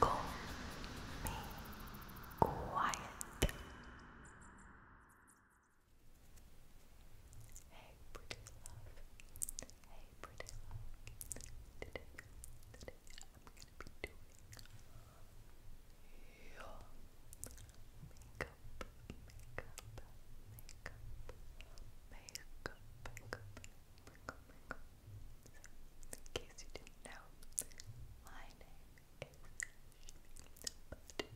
Call me quiet. Hey, pretty Hey, pretty Today, today I'm gonna be doing your makeup, makeup, makeup, makeup, makeup. Michael, Michael. So, in case you didn't know, my name is but you,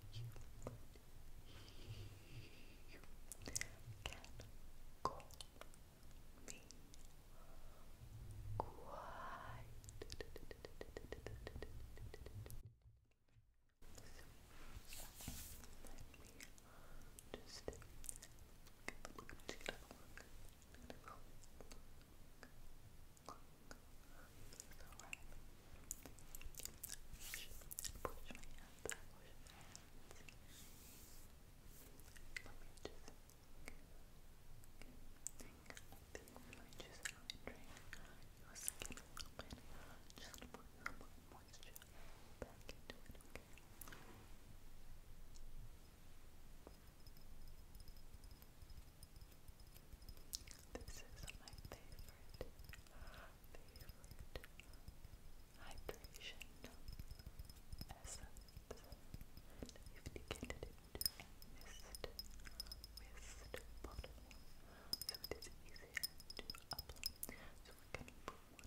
you can call me quite so, let me just give a look, just give a look. Give a look, look, look. It's alright. Push, push my hands, push my hands. Let me just I think we might just hydrate your skin a little bit. Just put some moisture back This is my favorite, favorite hydration essence. You've it mist, mist bottle, so it is easier to apply. So we can put one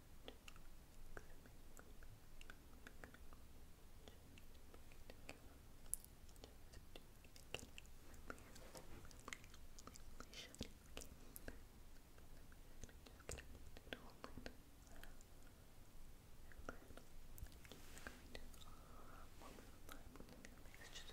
just blend it into the perfect. Just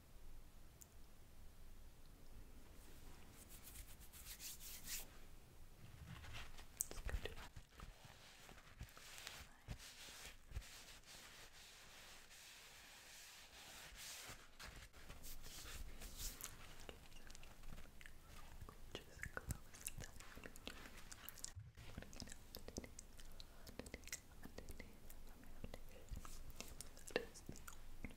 Let's go do that. Just close that. That is the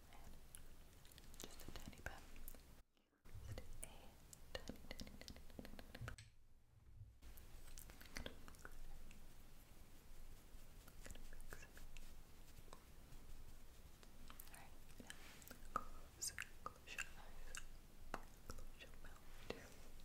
and just a tiny bit. Just a tiny, tiny, tiny, tiny, tiny bit. I'm gonna mix it. I'm gonna mix it. Alright, now close, close your eyes, close your mouth. There we go.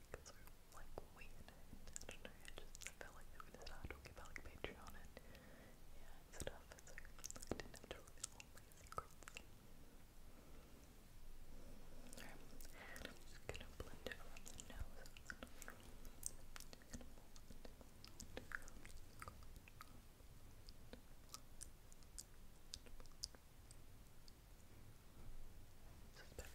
like so like weird I just felt like we were gonna start about like Patreon and yeah stuff I didn't have to reveal all my I'm just gonna blend it around the nose. I'm gonna make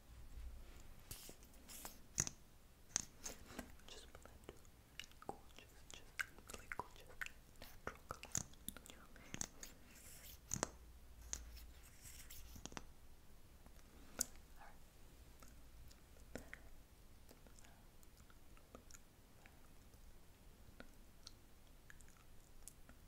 Just blend gorgeous, just like gorgeous, natural color. Alright. Alright.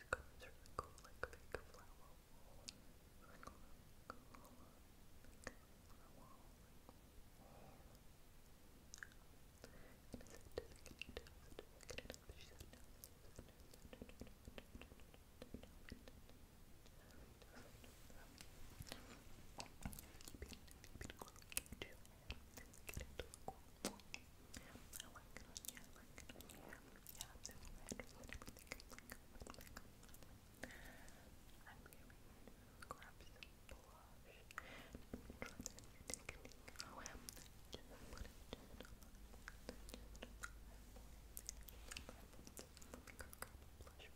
She's I like it I like it you. Yeah, there's letters and everything. I'm going to grab some blush and try this new I'm just put it just on Let me go grab a blush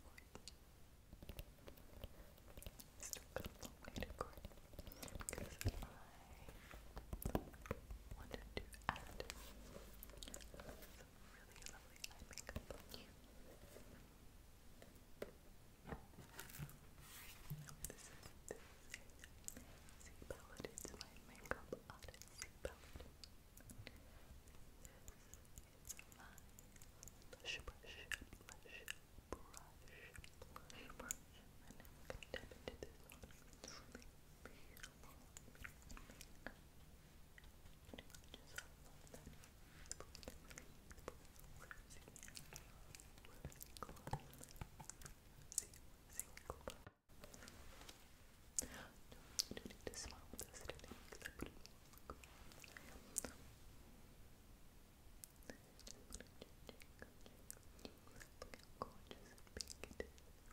for you. Still got a long way to go wanted to add some really lovely makeup you. This is this is palette. It's my makeup artist palette. This my blush brush, blush brush, blush brush, and then we can tap into this one need to smile with this today because I pretty well look. Look how gorgeous and pink it is.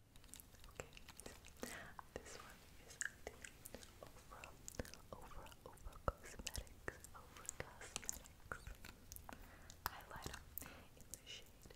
Okay, this one is the Over, Over, Over Cosmetics, Over Cosmetics highlighter in the shade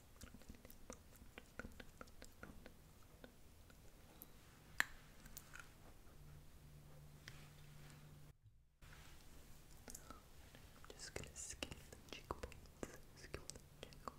I'm just gonna skim the cheekbones, skim the cheekbones.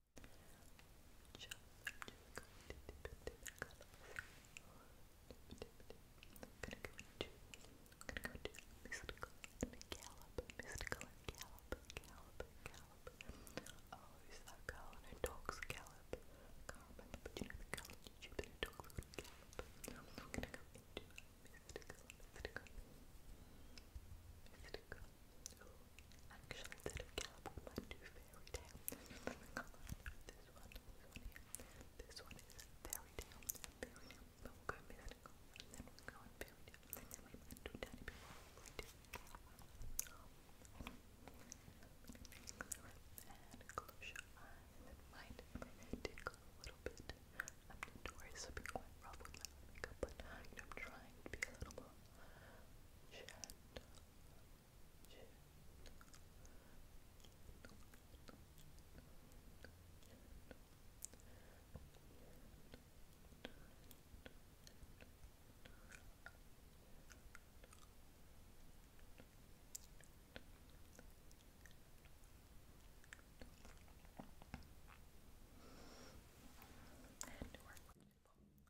mystical and gallop, mystical and gallop, gallop, gallop. Oh, is that girl and her dogs gallop? I can't remember, but you know the girl on YouTube and her dogs would gallop. No, I'm not gonna go into mystical, mystical, mystical. Oh, Actually, instead of Caliban, I fairy tale. This one, this one is fairy Fairy tale. But we'll go mystical, and then we'll go on fairy tale. then we might do tiny fairy tale. And close your eyes. It might tickle a little bit. I'm notorious for being quite my makeup, but you I'm trying to be a little more gentle and work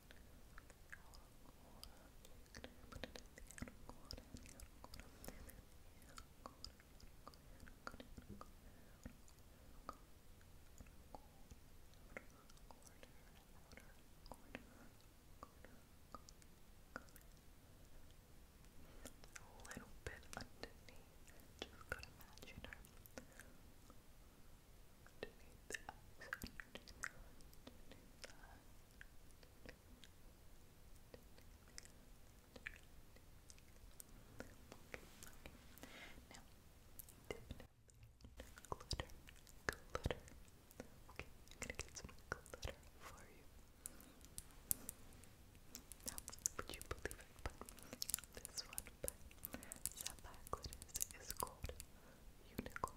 a little bit underneath, just gotta match it underneath the eyes, underneath the eyes, underneath the eyes. Okay, okay. Now, definitely glitter, glitter. Okay, I'm gonna get some glitter for you. Now, would you believe it? But this one by Sapphire Glitters is called Unicorn.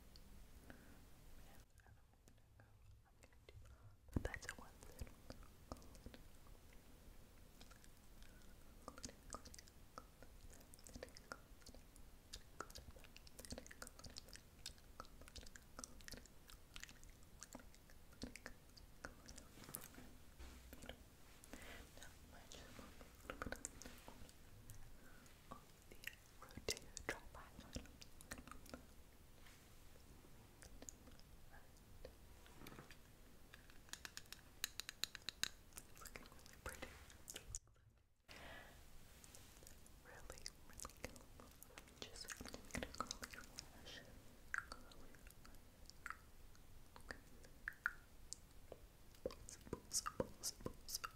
But that's a one little now, my road to It's looking really pretty. Really, really Just going your lash. Curl your lash. Okay. Pulse,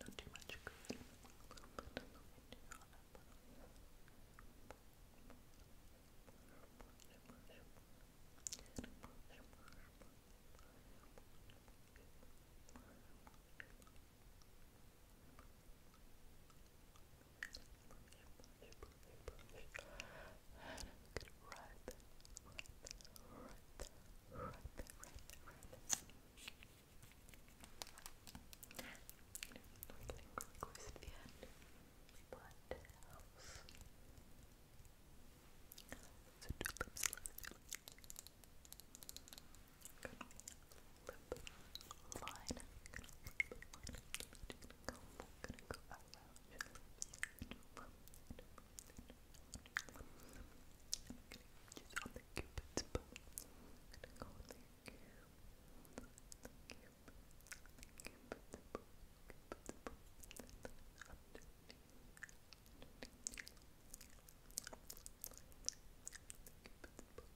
Not too much green, a little bit of the window on up. Good lip the line. I'm gonna go around your just on the cupid's bow. I'm gonna go on the cupid, the cupid, the cupid's bow, cupid's bow. Underneath, underneath, the cupid's bow.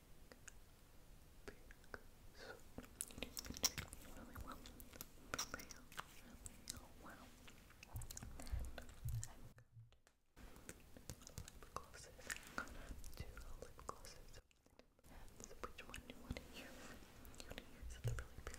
really well, really, lip glosses. i lip glosses. which one you want to use? You want to use the really big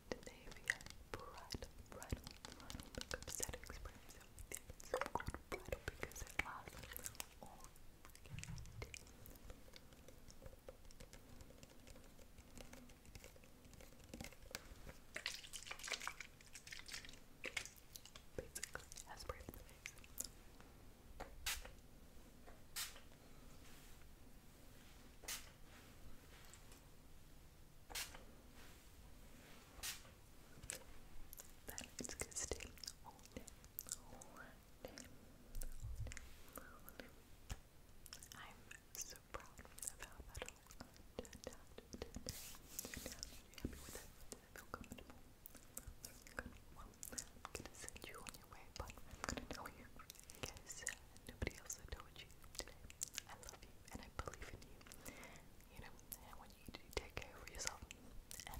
Scandinavia bridal, bridal, bridal makeup set experience. It's so called bridal because it lasts all day. Basically, has spray for the face. Now that looks good still. I'm so proud of how that all turned out. Turned you happy with it? Does feel comfortable? I'm gonna send you on your way, but I'm gonna tell you, I Nobody else will you today. I love you and I believe in you. You know, and I you take care of yourself and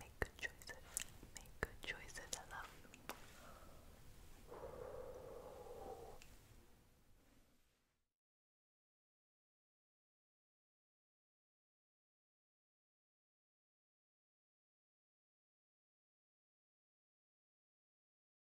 make good choices. Make good choices. I love you.